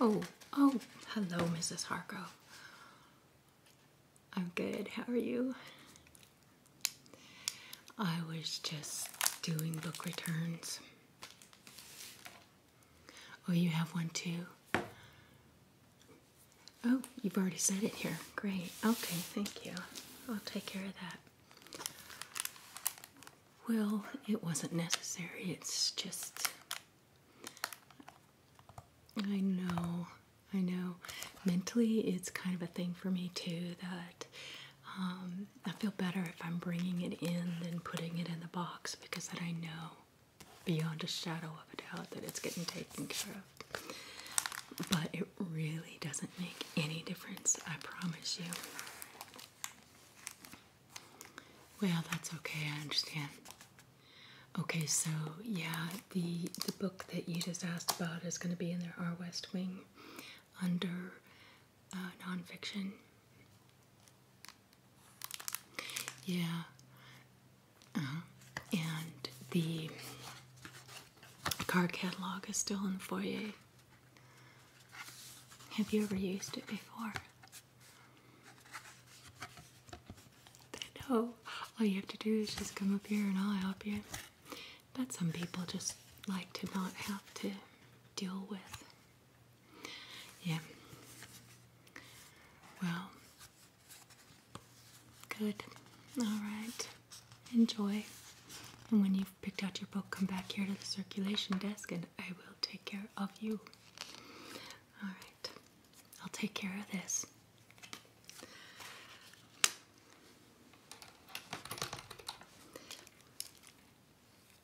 Oh, oh, hello, Mrs. Hargrove. I'm good. How are you? I was just doing book returns. Oh, you have one too. Oh, you've already said it here. Great. Okay, thank you. I'll take care of that. Well, it wasn't necessary. It's just. I know. I know. Mentally, it's kind of a thing for me too that um, I feel better if I'm bringing it in than putting it in the box because then I know beyond a shadow of a doubt that it's getting taken care of. But it really doesn't make any difference, I promise you. Well, that's okay, I understand. Okay, so yeah, the the book that you just asked about is going to be in there, Our West Wing under uh, nonfiction. Yeah. Uh -huh. And the card catalog is still in the foyer. Have you ever used it before? No. All you have to do is just come up here and I'll help you. But some people just like to not have to deal with yeah. Well, good. All right. Enjoy. And when you've picked out your book, come back here to the circulation desk and I will take care of you. All right. I'll take care of this.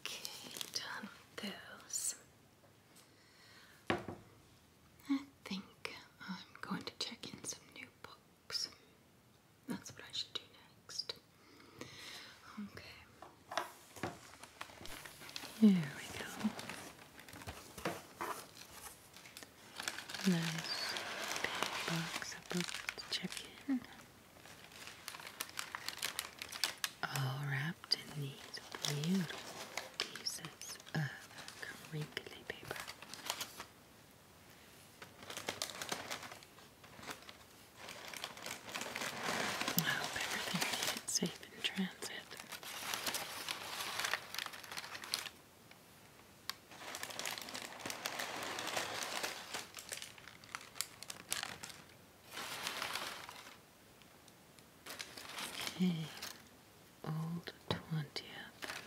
Okay, done with those. I think I'm going to check in some new books. That's what I should do next. Okay. Here we go. Nice box of books to check in all wrapped in these beautiful pieces of crinkly paper. I hope everything made it safe in transit. Okay, old twentieth.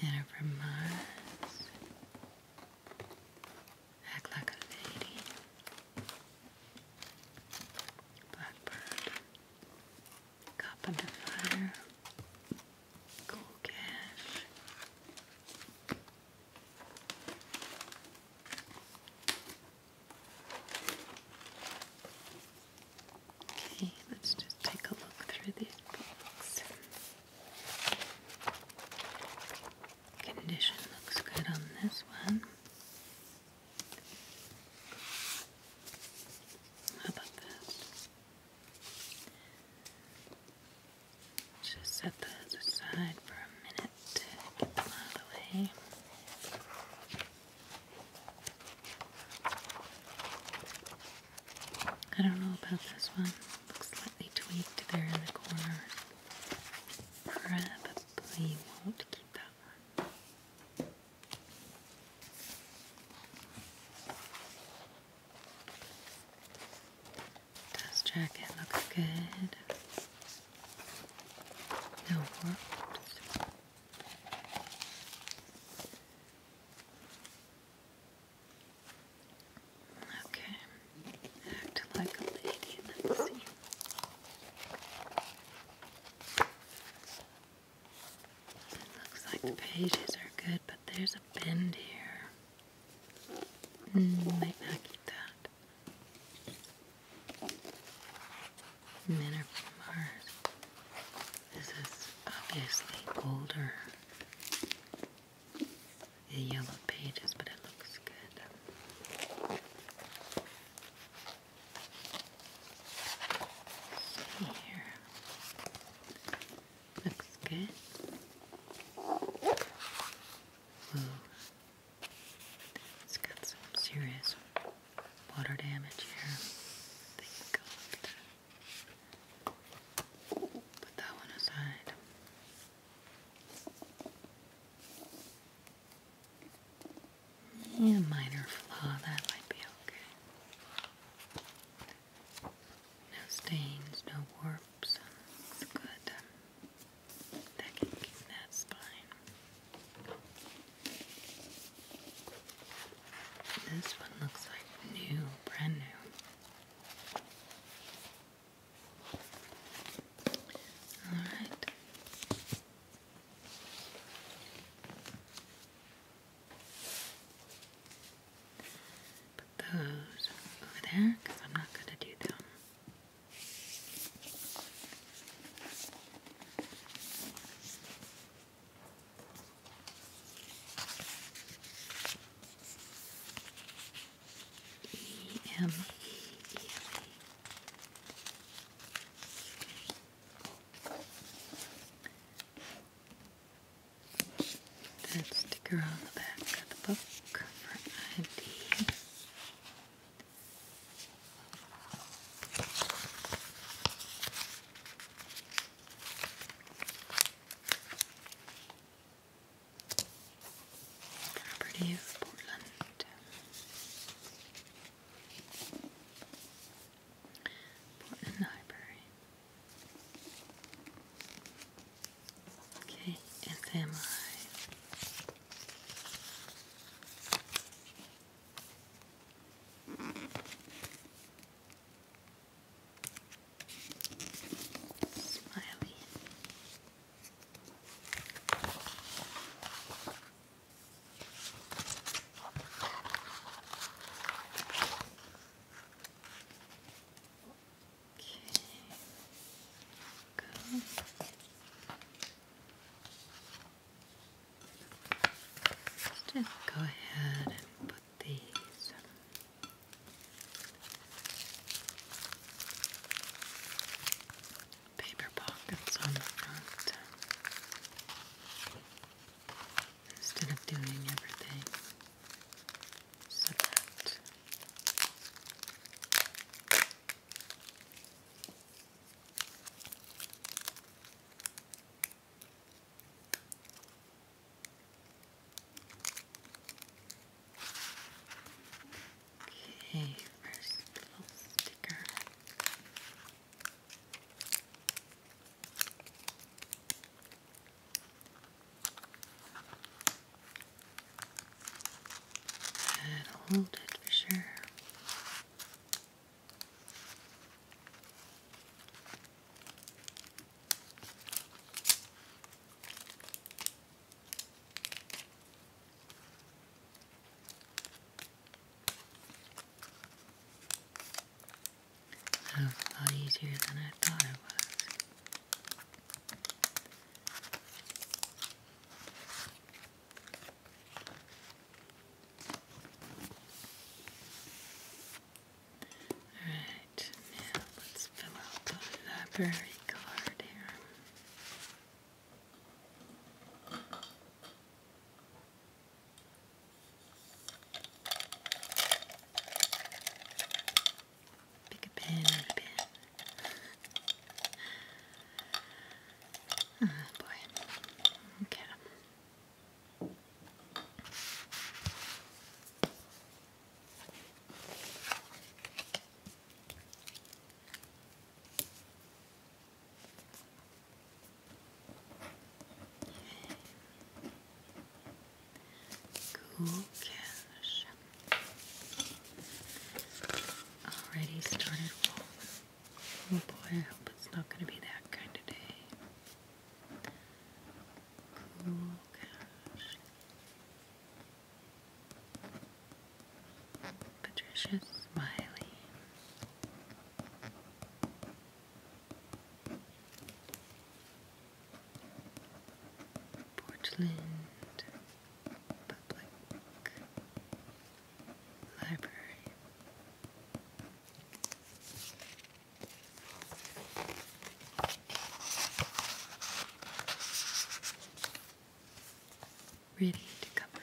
Man from Mars. Act like a lady. Blackbird. Carpenter fire. Okay, let's just take a look through these books. Condition looks good on this one. How about this? Just set those aside for a minute to get them out of the way. I don't know about this one. Looks slightly tweaked there in the corner. Probably won't keep that one. Does jacket look good? No Okay. Act like a lady. Let's see. looks like the pages are good, but there's a bend here. Mm, might not keep that. Men are from Mars. This is obviously older. The yellow pages, but it looks good. here. Looks good. It's got some serious water damage here. I think put that one aside. A minor flaw, that might be okay. No stains, no warps. It's good. That can keep that spine. This one looks like new, brand new. All right. Put those over there because I'm not going to do them. E M E E M E. That sticker on the back of the book for ID. Property of Portland. Portland Library. Okay, and samurai. Smiley. Go. just go ahead and put these. Paper pockets on the front instead of doing everything so that Okay, first little sticker. That'll hold it for sure. That was a lot easier than I thought it was. Alright, now let's fill out the library card here. Pick a pen out ah, boy. Okay. Gookish. Already started warm. Oh boy, I hope it's not going to be that kind of day. Gookish. Patricia Smiley. Portland Public Library. Ready to cover.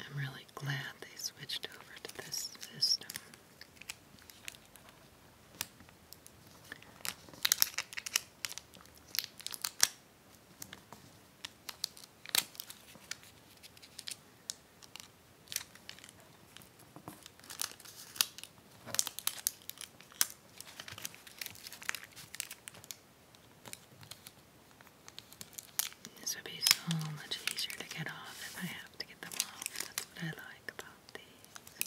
I'm really glad they switched over to this system. This would be so much easier to get off if I have to get them off. That's what I like about these.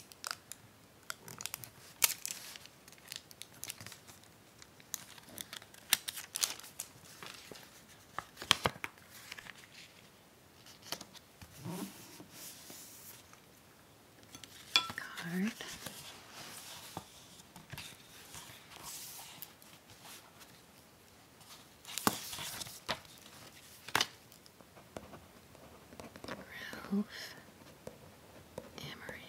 Card. Ralph Amory.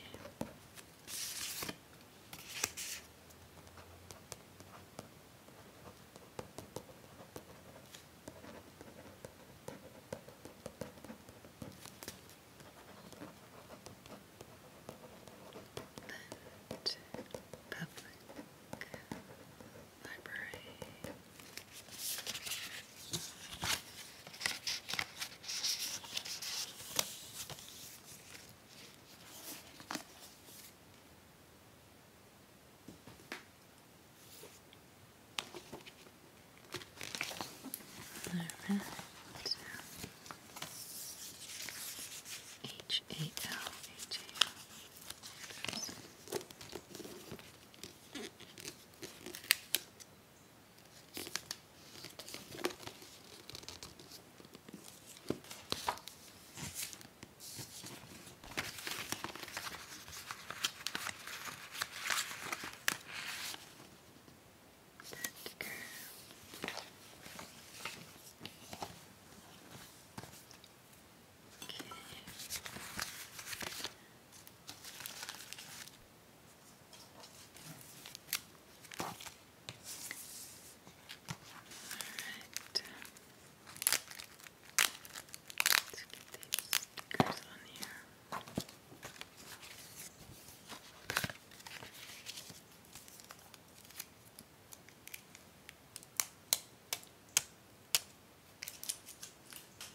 Lent Public Library. All right. H A L H A L. Start to All right. Let's get these stickers on here.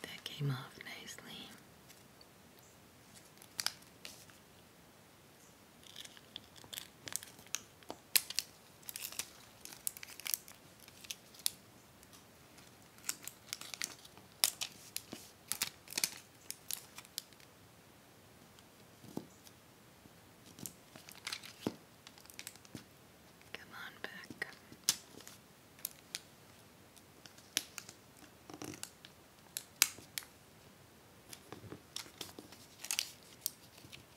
That came off nicely. Come on back.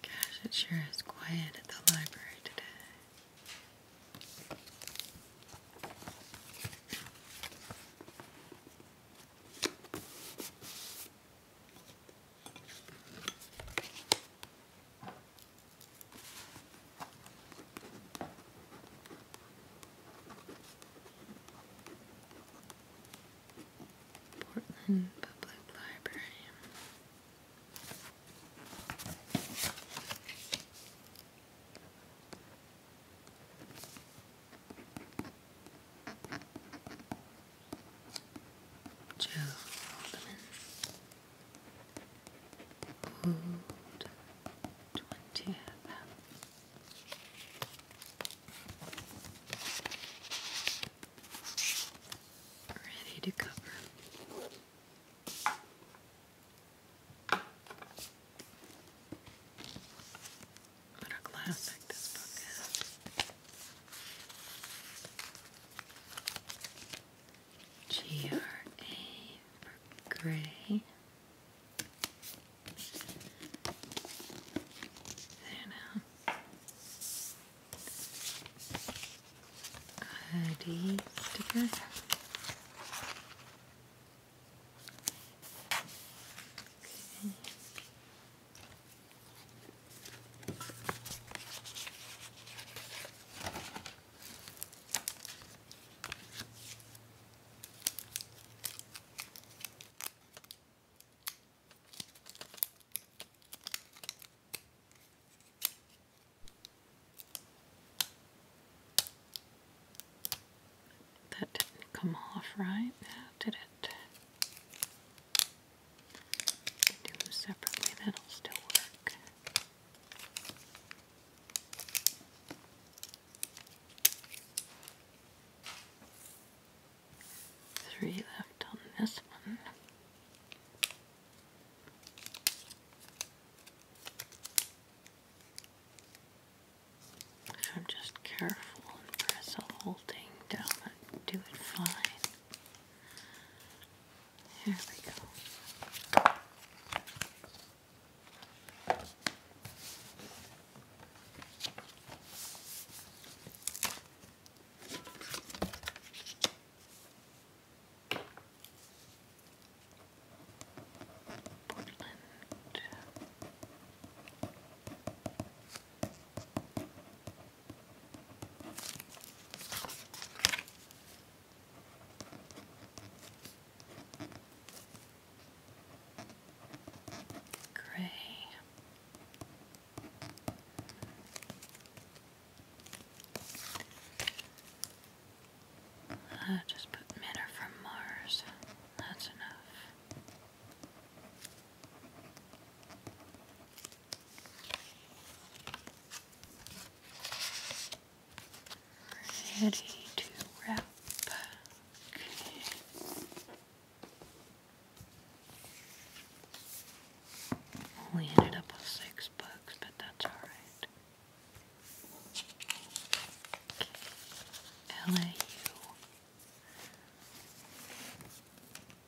Gosh, it sure is quiet at the library today. Portland Public Library. Joe Alderman, ready to cover. What a classic this book is. G R A for gray. There now. ID Okay. That didn't come off right did it? do separately, that'll still work. Three left on this one. I'm just careful and press the whole thing down do it fine. There we go. Portland. Gray. i uh, just put manner from Mars. That's enough. Ready to wrap. We ended up with six books, but that's alright. LAU.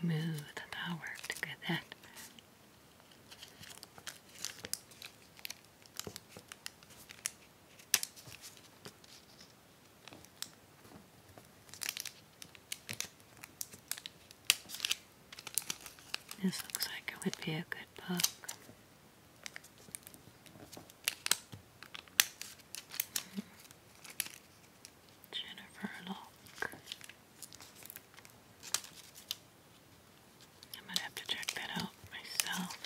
Smooth, that worked good. That. This looks like it would be a good book. Jennifer Locke. I might have to check that out myself.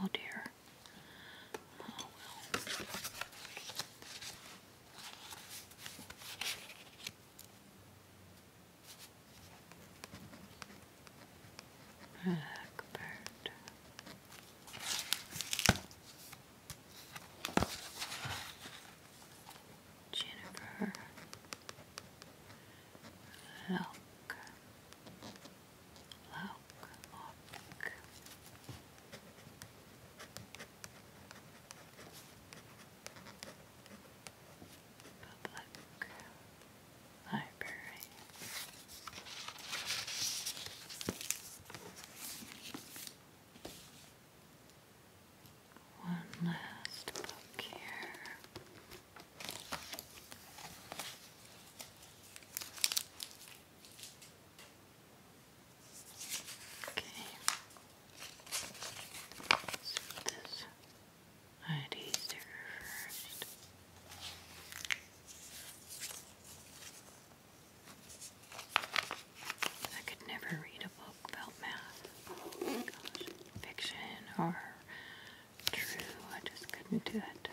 Oh dear. Oh, Blackbird. Jennifer Lock Lock Lock Public Library one last book here. Okay. put this ID sticker first. I could never read a book about math. Oh my gosh fiction or true. I just couldn't do it.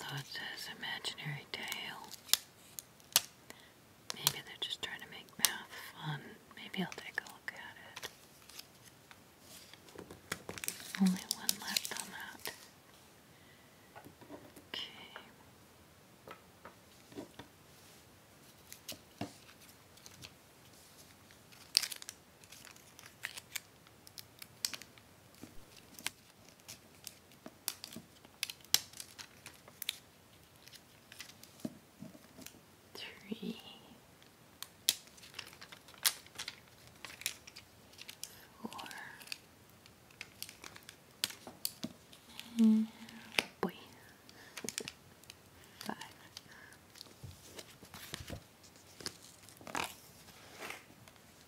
Although it says imaginary tale, Maybe they're just trying to make math fun. Maybe I'll take a look at it. Only one left on that. Okay three, four, and boy, five.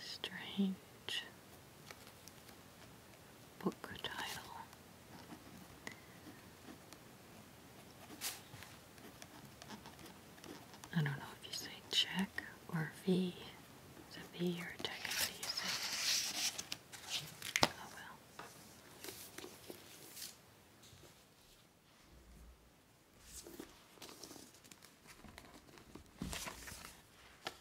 strange book title. I don't know if you say check or V. Is it V or check?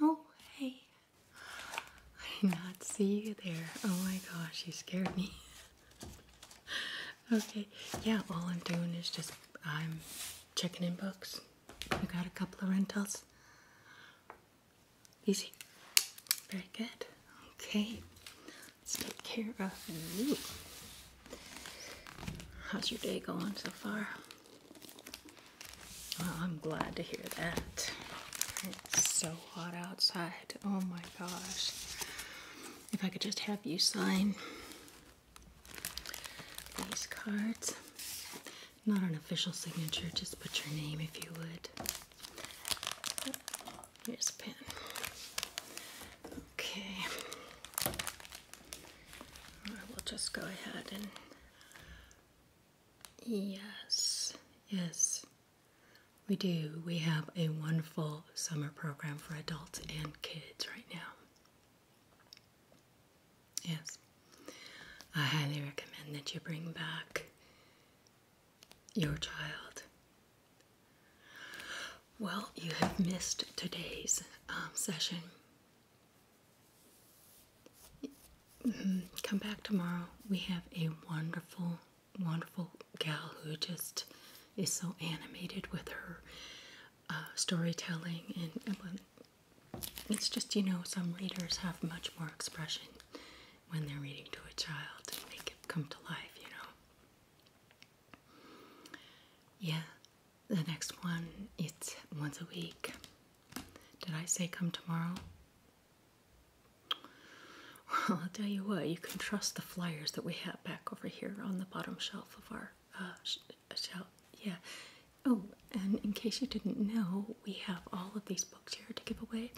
Oh, hey. I did not see you there. Oh my gosh, you scared me. okay, yeah, all I'm doing is just I'm checking in books. We got a couple of rentals. Easy. Very good. Okay. Let's take care of you. How's your day going so far? Well, I'm glad to hear that. It's so hot outside. Oh my gosh. If I could just have you sign these cards. Not an official signature, just put your name if you would. Here's a pen. Okay. I will just go ahead and. Yes, yes, we do. We have a wonderful summer program for adults and kids right now. Yes. I highly recommend that you bring back your child. Well, you have missed today's um, session. Come back tomorrow. We have a wonderful, wonderful gal who just is so animated with her uh, storytelling and um, it's just, you know, some readers have much more expression when they're reading to a child and make it come to life, you know. Yeah, the next one, it's once a week. Did I say come tomorrow? Well, I'll tell you what, you can trust the flyers that we have back over here on the bottom shelf of our uh, sh shall yeah. Oh, and in case you didn't know, we have all of these books here to give away.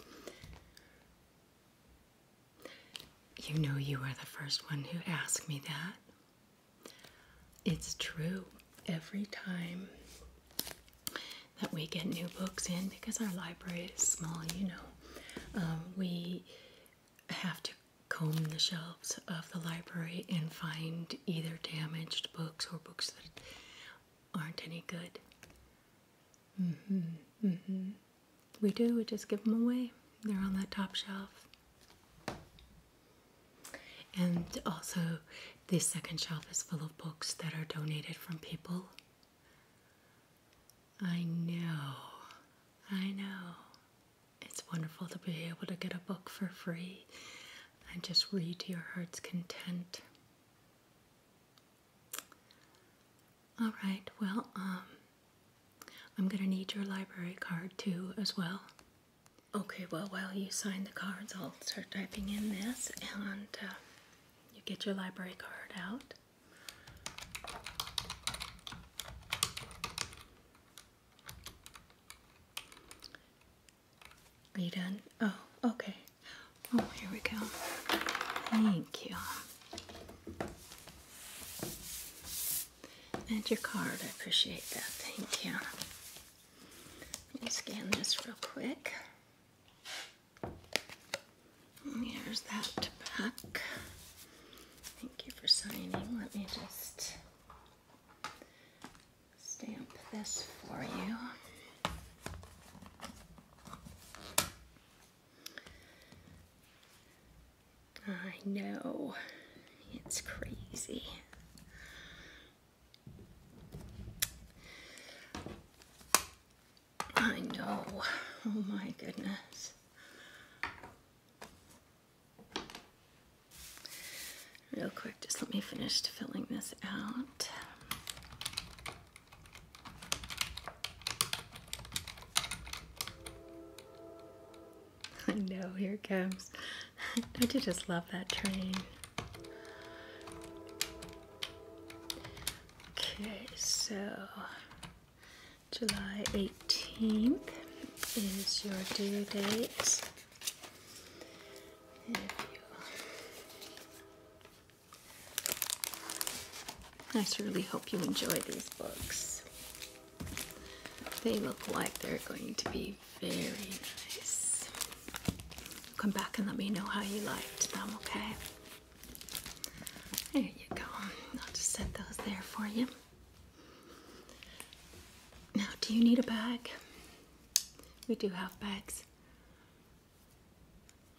You know, you are the first one who asked me that. It's true. Every time that we get new books in, because our library is small, you know, um, we have to comb the shelves of the library and find either damaged books or books that aren't any good. Mm-hmm, mm-hmm. We do, we just give them away. They're on that top shelf. And also, this second shelf is full of books that are donated from people. I know, I know. It's wonderful to be able to get a book for free and just read to your heart's content. All right, well, um, I'm going to need your library card too, as well. Okay, well, while you sign the cards, I'll start typing in this and uh, you get your library card out. Are you done? Oh, okay. Oh, here we go. Thank you. And your card. I appreciate that. Thank you. Let me scan this real quick. Here's that back. Thank you for signing. Let me just stamp this for you. I know, it's crazy. I know, oh my goodness. Real quick, just let me finish filling this out. I know, here it comes. I do just love that train. Okay, so July 18th is your due date. I surely hope you enjoy these books. They look like they're going to be very nice. Come back and let me know how you liked them, okay? There you go. I'll just set those there for you. Now, do you need a bag? We do have bags.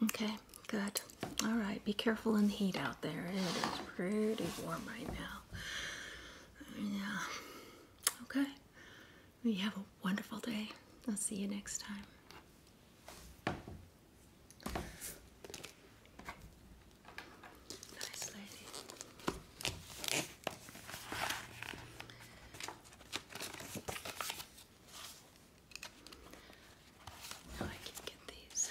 Okay, good. All right, be careful in the heat out there. It is pretty warm right now. Yeah. Okay. We have a wonderful day. I'll see you next time. Nice lady. Now I can get these.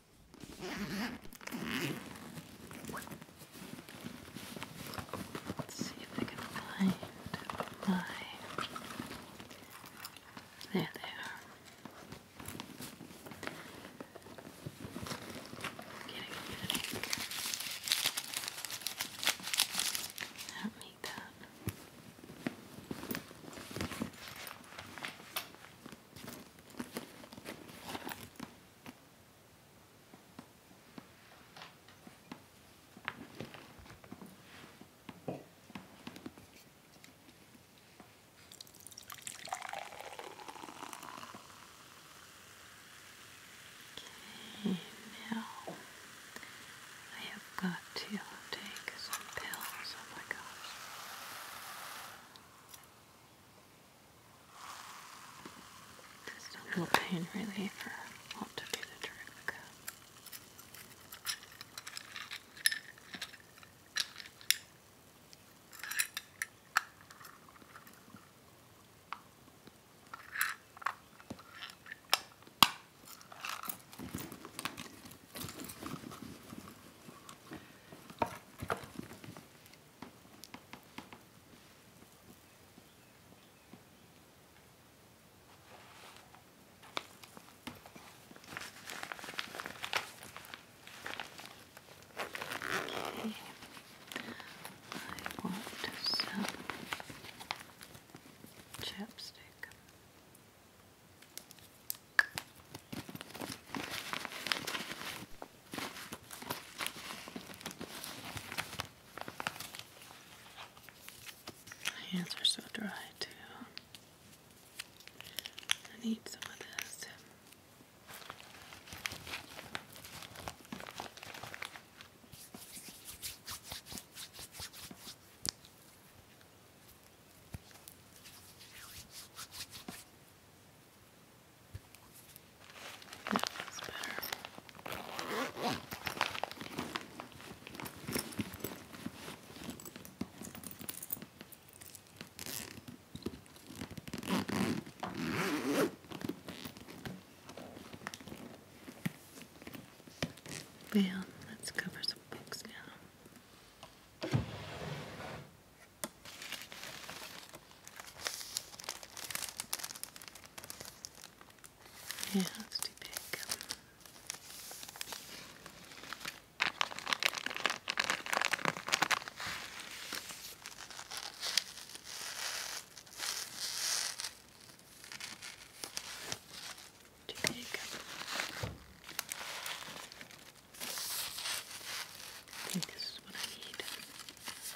Let's see if I can find my. There they are. Getting a headache. I don't need that. Okay, now I have got to take some pills. Oh my gosh. Just a little pain reliever ought to do the trick. Okay. I want some chapstick. My hands are so dry, too. I need some of this. That better. Well, let's cover some books now. Yeah, too big. Too big. I think this is what I need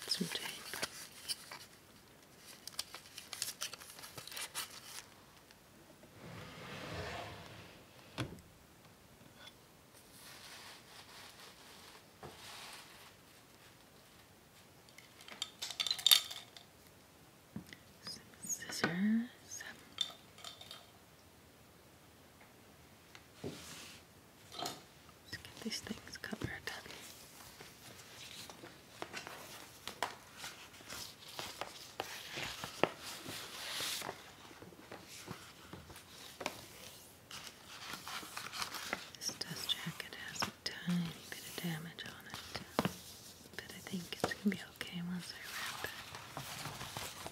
some tape. scissors. Let's get these things covered. This dust jacket has a tiny bit of damage on it, but I think it's going to be okay once I wrap it.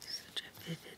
Such a vivid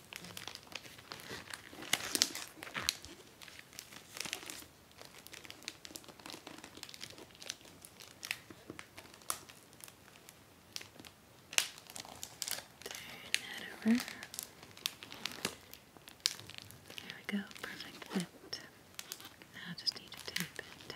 Turn that over. There we go, perfect fit. Now just need to tape and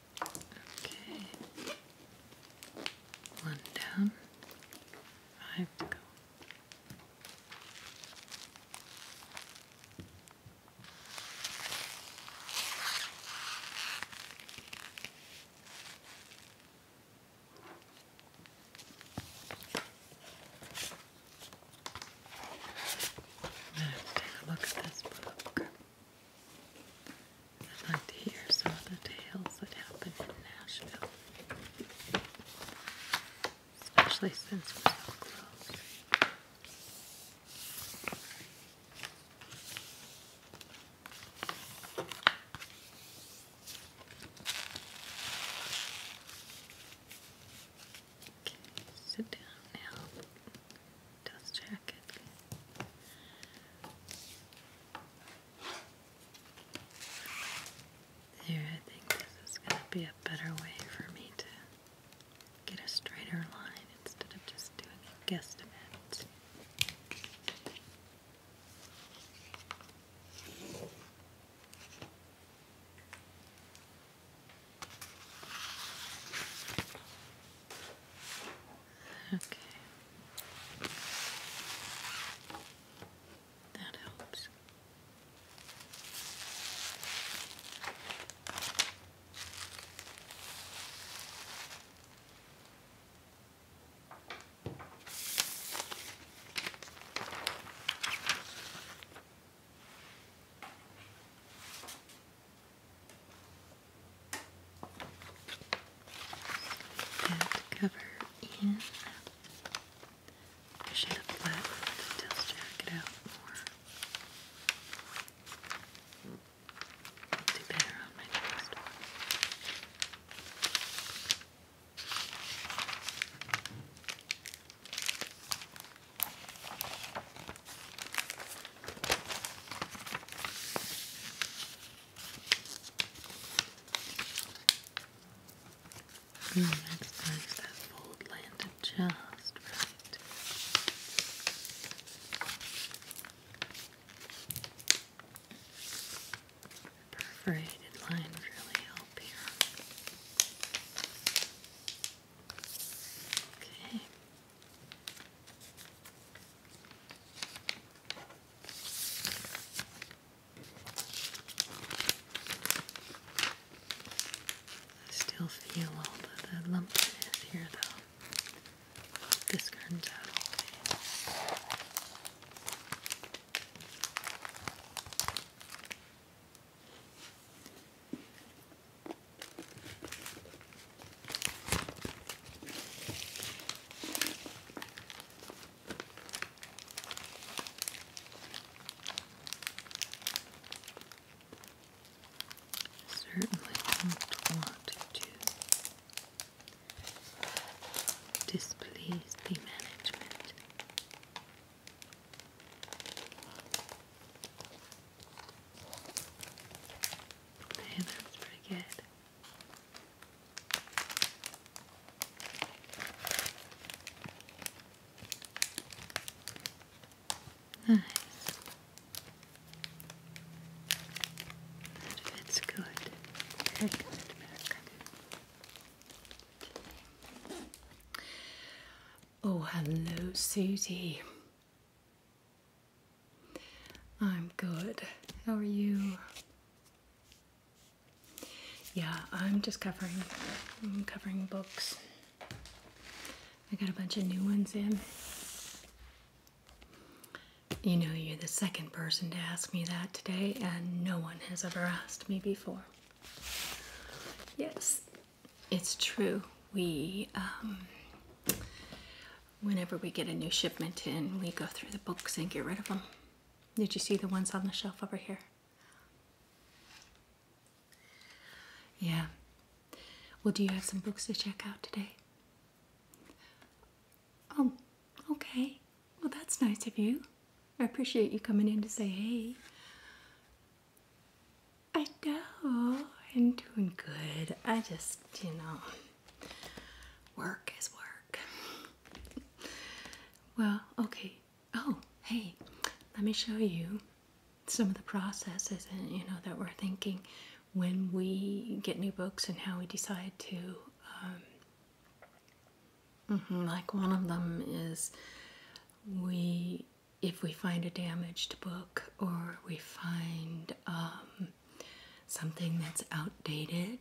Okay. One down, five to go. look at this book. I'd like to hear some of the tales that happen in Nashville, especially since we're so close. Okay, sit down now dust jacket. There, I think this is going to be a better way for me to get a straighter line instead of just doing a guesstimate. Okay. That helps and cover in. I should have left the dust jacket out more. do better on my next the next time that fold landed just right. Perforated lines really help here. Okay. I still feel all the, the lumpiness here though. This comes out Certainly don't want to displease the management. Okay, that's pretty good. Nice. That fits good. Oh, hello, Susie. I'm good. How are you? Yeah, I'm just covering covering books. I got a bunch of new ones in. You know, you're the second person to ask me that today, and no one has ever asked me before. Yes, it's true. We um, whenever we get a new shipment in, we go through the books and get rid of them. Did you see the ones on the shelf over here? Yeah. Well, do you have some books to check out today? Oh, okay. Well, that's nice of you. I appreciate you coming in to say hey. I know. I'm doing good. I just, you know. Work is work. well, okay. Oh, hey, let me show you some of the processes and you know that we're thinking when we get new books and how we decide to. Um, mm-hmm, like one of them is we if we find a damaged book or we find um, something that's outdated,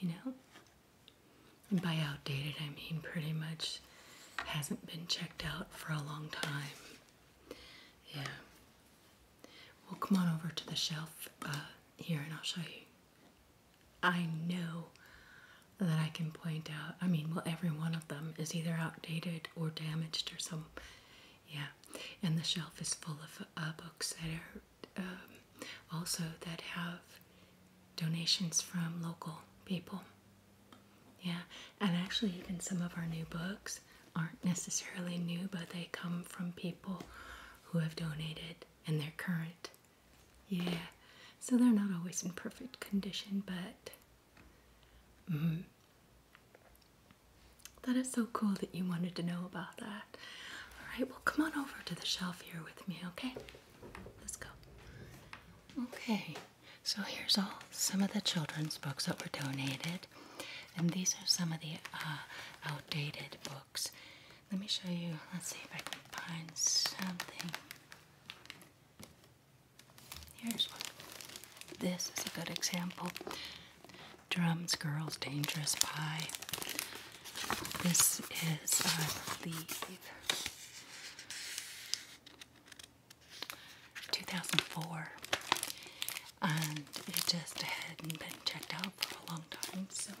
you know? And by outdated, I mean pretty much hasn't been checked out for a long time. Yeah. Well, come on over to the shelf uh, here and I'll show you. I know that I can point out. I mean, well, every one of them is either outdated or damaged or some. Yeah. And the shelf is full of uh, books that are um, also that have donations from local people. Yeah, and actually, even some of our new books aren't necessarily new, but they come from people who have donated and they're current. Yeah, so they're not always in perfect condition, but mm, that is so cool that you wanted to know about that. All right, well, come on over to the shelf here with me, okay? Let's go. Okay, so here's all some of the children's books that were donated, and these are some of the uh, outdated books. Let me show you. Let's see if I can find something. Here's one. This is a good example. Drums Girls Dangerous Pie. This is, I believe, 2004. And it just hadn't been checked out for a long time, so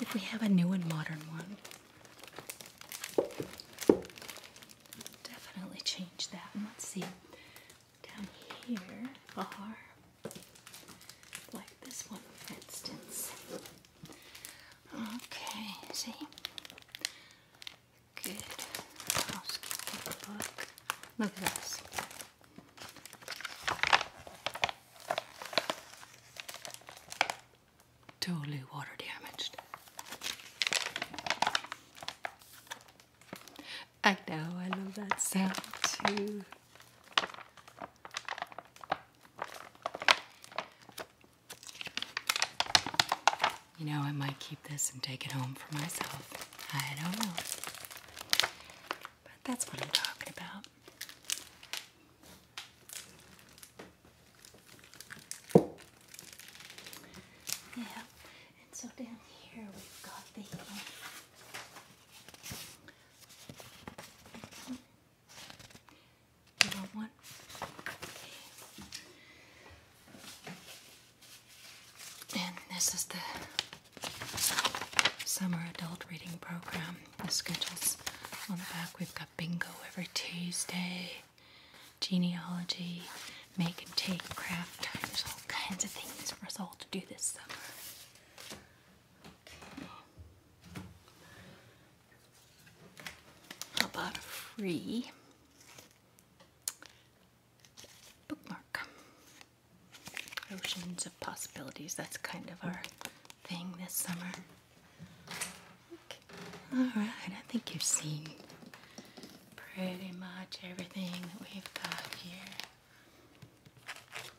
if we have a new and modern one, definitely change that. And let's see, down here are like this one, for instance. Okay, see? Good Look at this. Totally water damaged. I know, I love that sound too. You know, I might keep this and take it home for myself. I don't know. But that's what I'm talking about. Yeah, and so down here we've got the um, one? And this is the summer adult reading program. The schedules on the back. We've got bingo every Tuesday, genealogy, make and take, craft There's all kinds of things for us all to do this summer. How about a free bookmark? Oceans of Possibilities. That's kind of our thing this summer. Alright, I think you've seen pretty much everything that we've got here.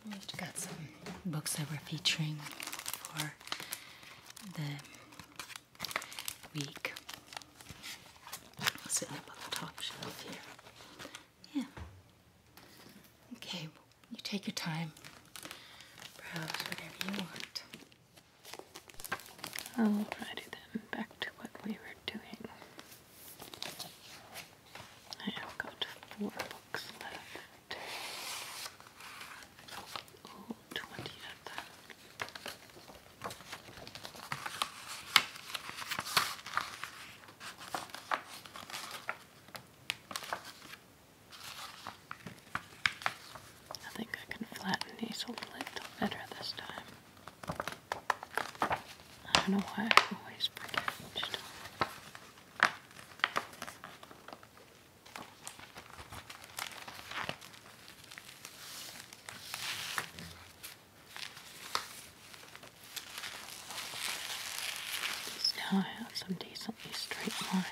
We've got some books that we're featuring for the week. Sitting up on the top shelf here. Yeah. Okay, you take your time. Browse whatever you want. I'll then back to what we were doing. I have got four books left. Oh, of them. I think I can flatten these a little better this time. I don't know why I always forget stuff. Now I have some decently straight lines.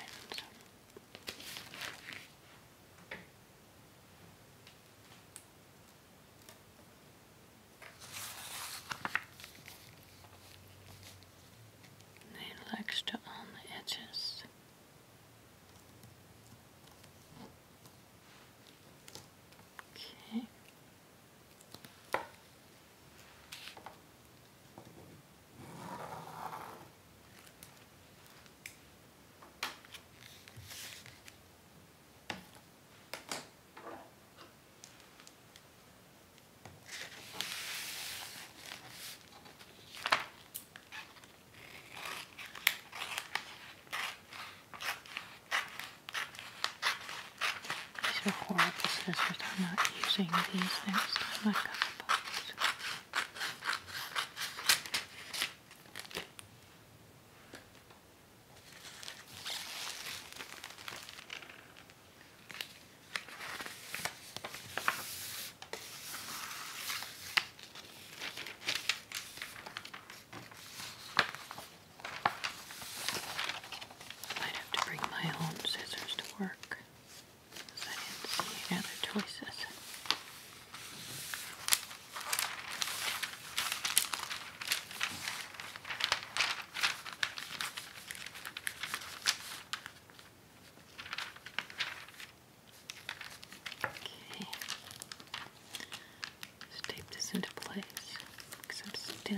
It likes to on the edges. Okay. These are horrible scissors. I'm not using these next time I cut the box. Might have to bring my own scissors to work because I didn't see any other choices. Okay. Let's tape this into place because I'm still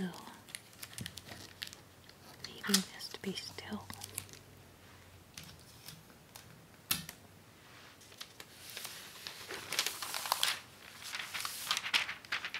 needing this to be still.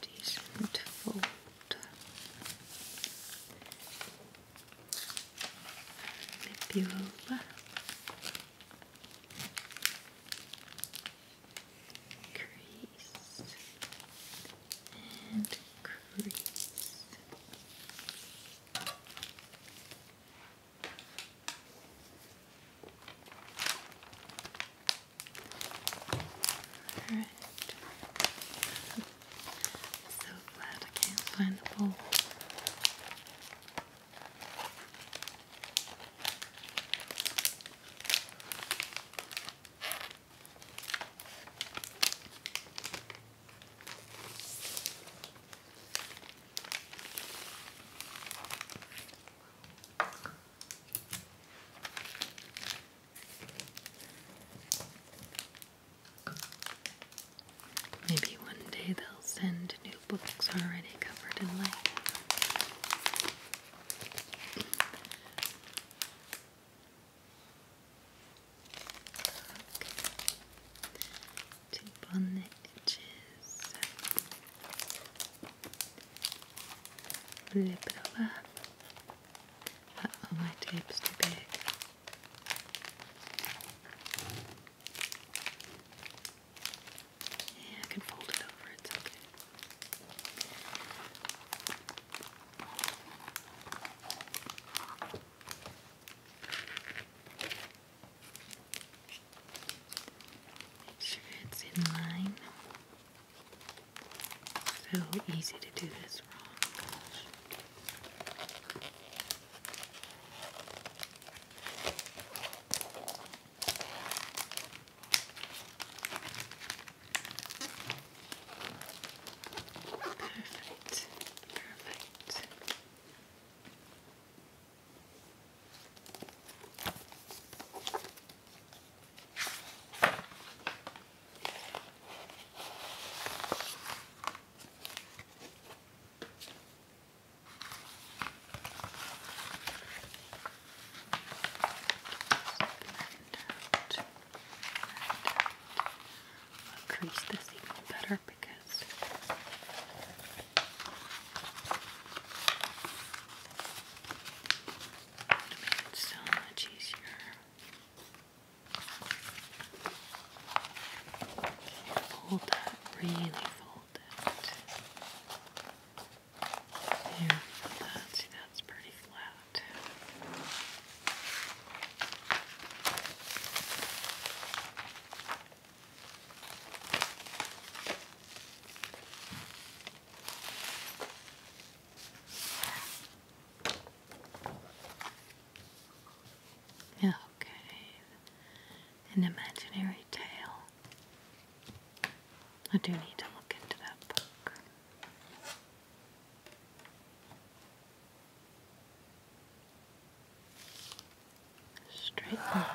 decent fold. Flip you Crease and crease. Alright. So glad I can't find the bowl. Maybe one day they'll send new books already covered in light. Tape on the edges. Flip it over oh, my tape's too big. Yeah, I can fold it over, it's okay. Make sure it's in line. So easy to do this wrong. Perfect. Perfect. I'll crease this even better because so much easier. Okay, that, really fold it. There, See, that's pretty flat. Okay. An imaginary tale. I do need to look into that book. Straight line.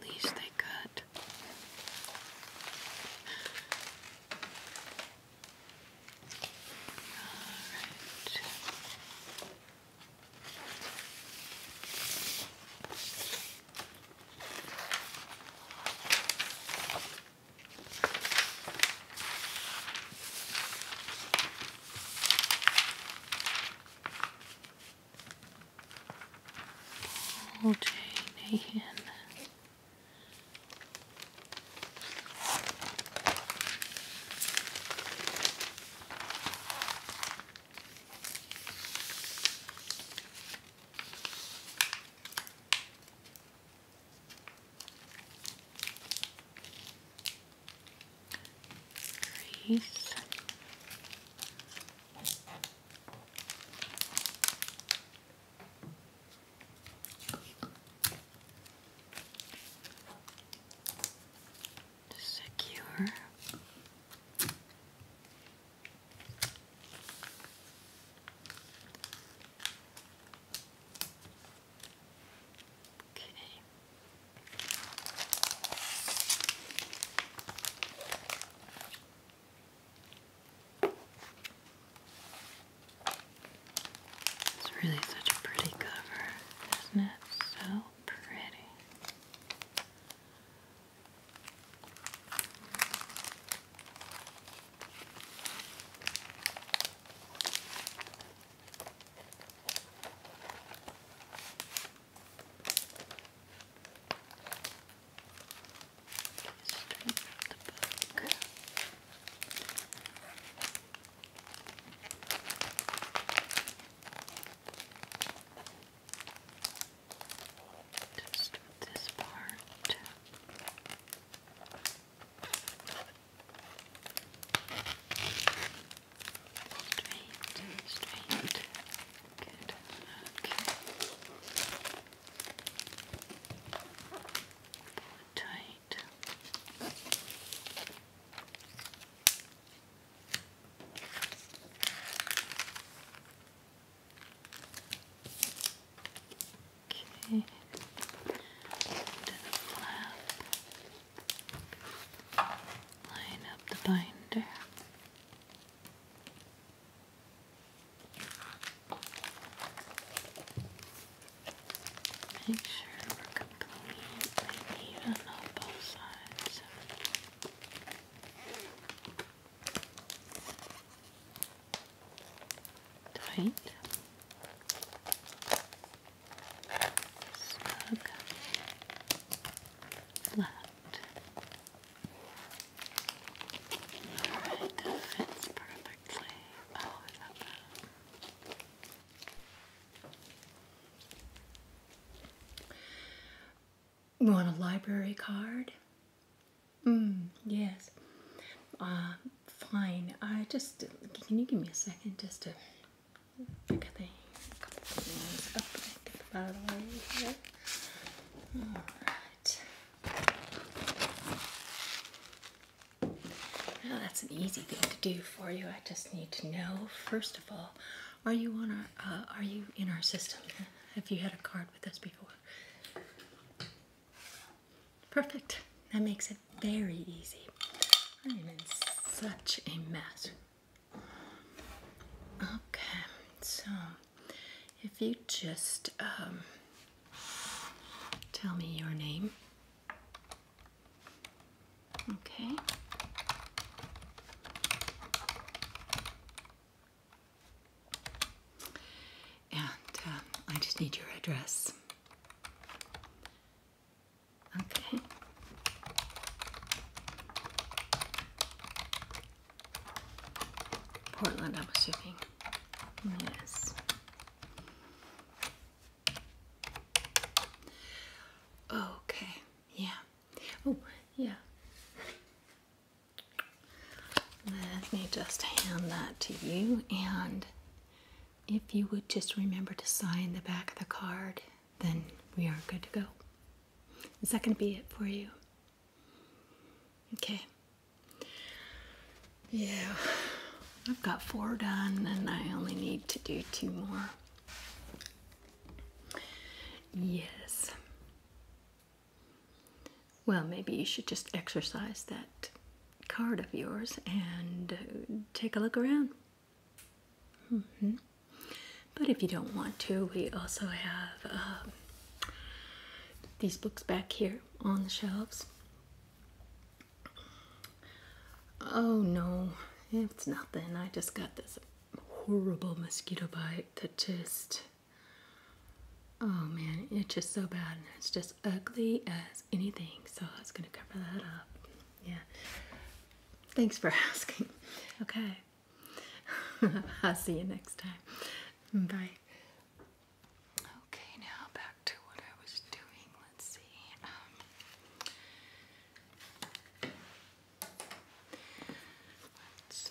At least they could. Alright. O.J. Nahan. Grease. Secure. Okay. It's really such a pretty cover, isn't it? So pretty. Straight from the book. Just this part. Straight, straight. Good. Okay. Pull tight. Okay. To the line up the binder. Make sure we're completely even on both sides. Tight. Snug. Flat. We want a library card? Mm, yes. Uh, fine. I just, can you give me a second just to pick a thing? Well, that's an easy thing to do for you. I just need to know, first of all, are you on our, uh, are you in our system? Have you had a card with us before? Perfect. That makes it very easy. I'm in such a mess. Okay, so if you just um, tell me your name. Okay. And um, I just need your address. Okay. Portland, I'm assuming. Yes. Okay. Yeah. Oh, yeah. Let me just hand that to you. And if you would just remember to sign the back of the card then we are good to go. Is that going to be it for you? Okay. Yeah, I've got four done and I only need to do two more. Yes. Well, maybe you should just exercise that card of yours and uh, take a look around. -hmm. But if you don't want to, we also have um, these books back here on the shelves. Oh no, it's nothing. I just got this horrible mosquito bite that just. Oh man, it's just so bad. It's just ugly as anything. So I was going to cover that up. Yeah. Thanks for asking. Okay. I'll see you next time. Bye. Okay, now back to what I was doing. Let's see. Um, let's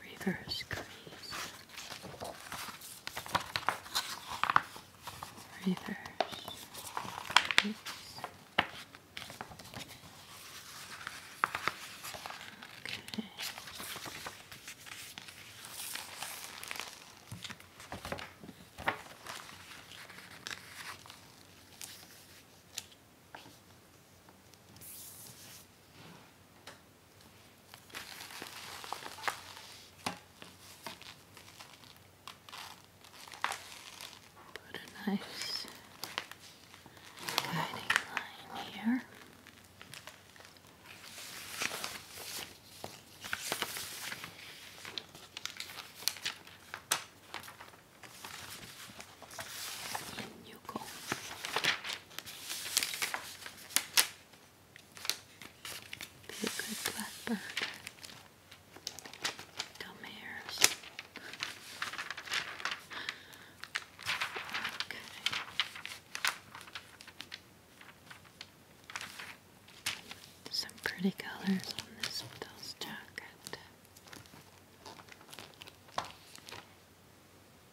reverse crease, reverse crease. Okay. Put a nice guiding line here. In you go. Be a good blackbird. Dumb hairs. Okay. Some pretty colors on this widow's jacket.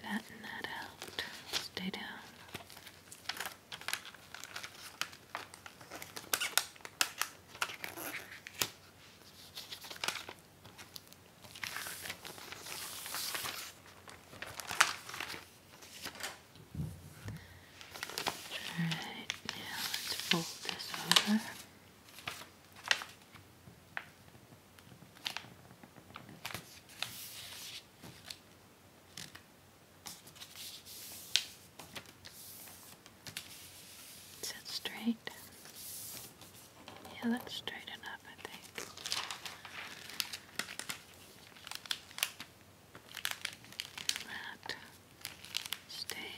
Flatten that out. Stay down. All right, now let's fold this over. Is straight? Yeah, that's straight enough, I think. That stay.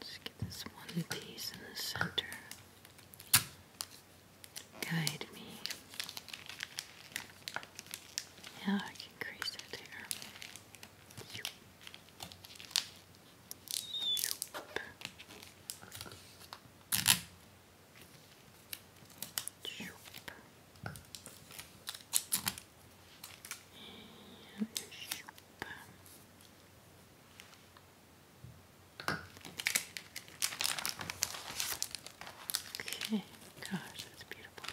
Just get this one piece in the center guide me. Now I can crease it here. Okay, gosh, that's beautiful.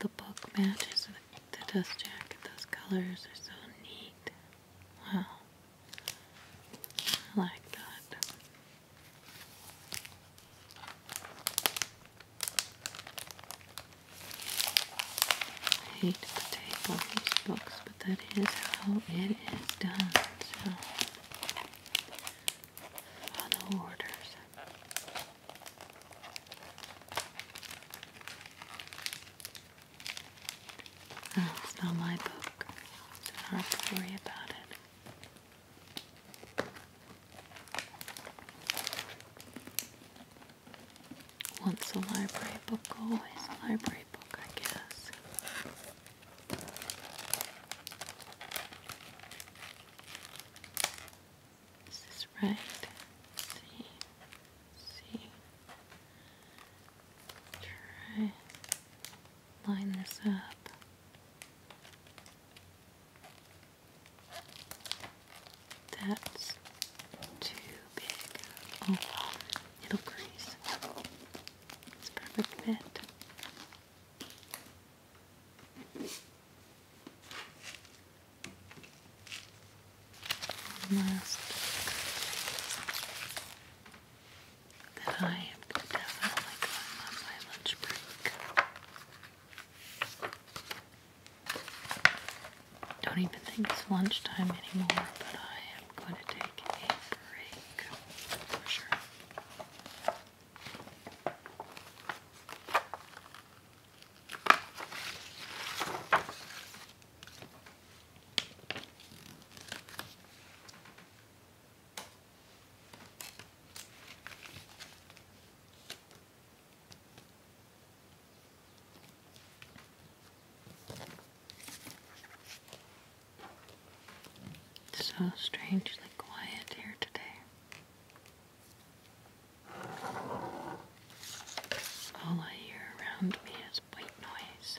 the book matches the, the dust jacket. Those colors are so neat. Wow. I like that. I hate to take all these books, but that is how it is done. So follow orders. Oh, not my book. It's hard worry about it. Once a library book, always a library book, I guess. Is this right? see, see. Try line this up. That's too big. Oh, it'll crease. It's perfect fit. last that I am definitely going on my lunch break. Don't even think it's lunchtime anymore, but I am going to take a break for sure. It's so strangely quiet here today. All I hear around me is white noise.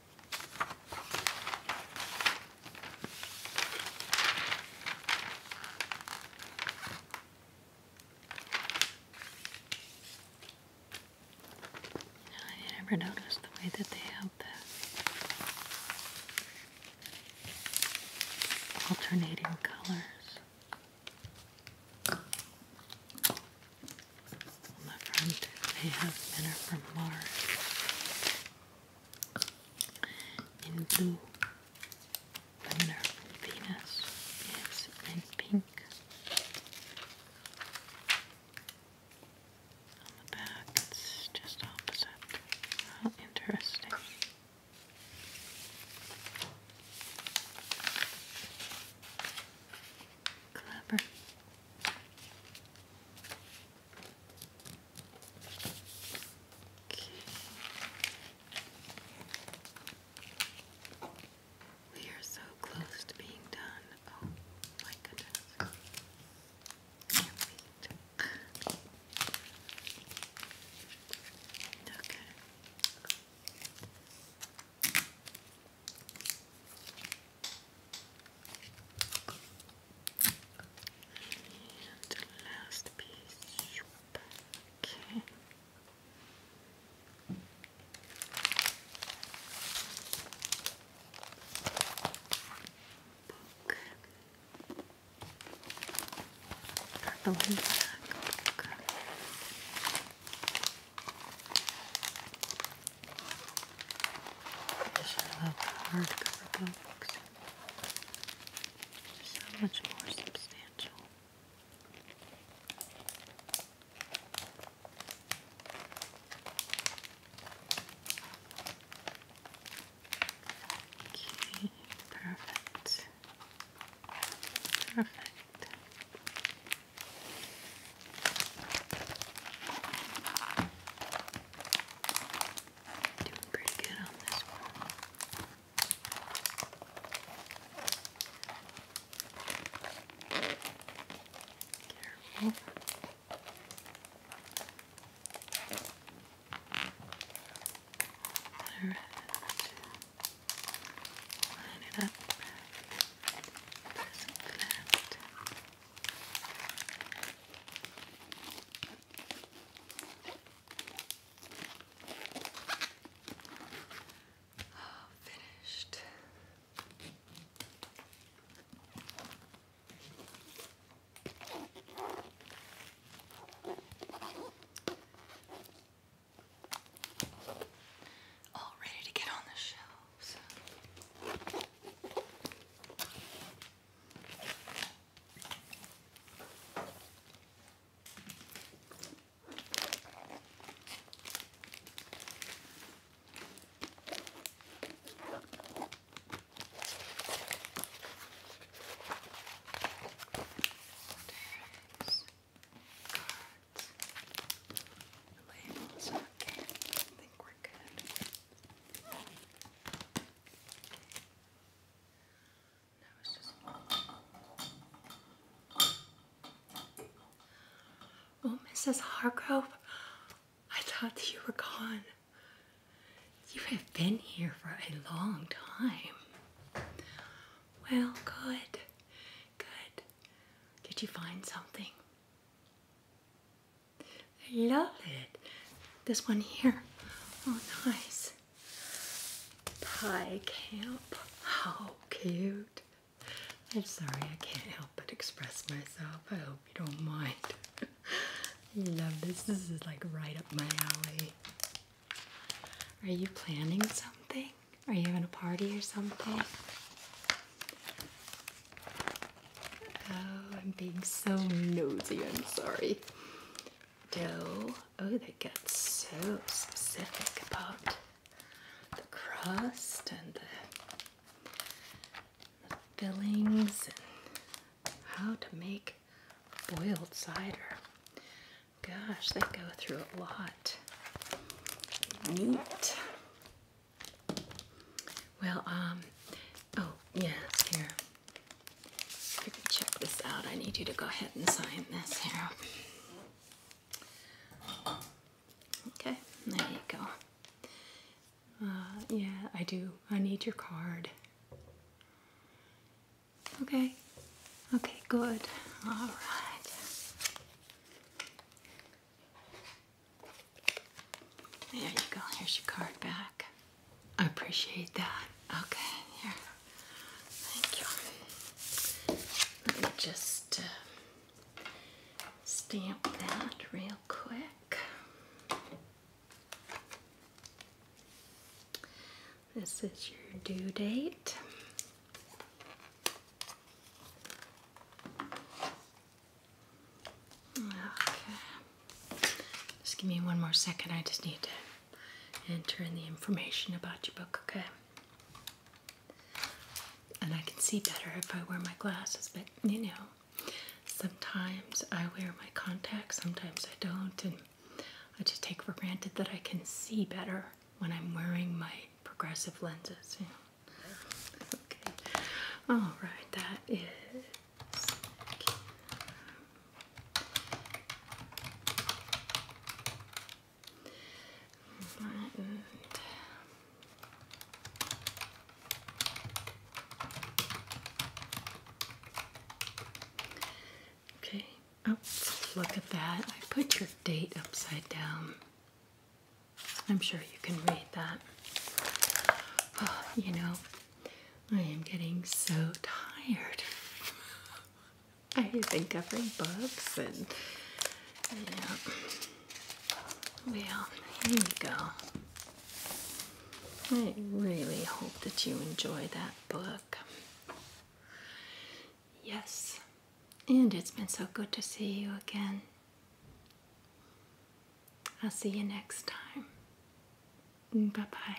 I never noticed the way that they have the alternating colors. On the front, they have men from Mars in blue, Venus, yes, and pink on the back, it's just opposite. interesting. Clever. Okay. We are so close to being done. Oh my goodness. Can't wait. Okay. And the last piece. Okay. Book. Purple and black I should have hardcover books. So much more substantial. Okay, perfect. Perfect. Doing pretty good on this one. Line it up. Press it flat. Oh, finished. All ready to get on the shelves. Cards. Labels. Okay. I think we're good. Oh, Mrs. Hargrove, I thought you were gone. You have been here for a long time. Well, good. Good. Did you find something? I love it. This one here. Oh, nice. Pie camp. How cute. I'm sorry, I can't help but express myself. I hope you don't mind. love this. This is like right up my alley. Are you planning something? Are you having a party or something? Oh, I'm being so nosy, I'm sorry. Dough. Oh, they get so specific about the crust and the, fillings and how to make boiled cider. Gosh, they go through a lot. Neat. Well, um, oh, yeah, here. check this out. I need you to go ahead and sign this here. Okay, there you go. Uh, yeah, I do. I need your card. Okay. Okay, good. All right. There you go. Here's your card back. I appreciate that. Okay, here. Thank you. Let me just uh, stamp that real quick. This is your due date. Okay. Just give me one more second. I just need to enter in the information about your book, okay? And I can see better if I wear my glasses, but you know, sometimes I wear my contacts, sometimes I don't, and I just take for granted that I can see better when I'm wearing my progressive lenses. Okay. All right, that is and okay, oh, look at that. I put your date upside down. I'm sure you can read that. Oh, you know, I am getting so tired. I've been covering books and yeah. Well, here we go. I really hope that you enjoy that book. Yes, and it's been so good to see you again. I'll see you next time. Bye bye.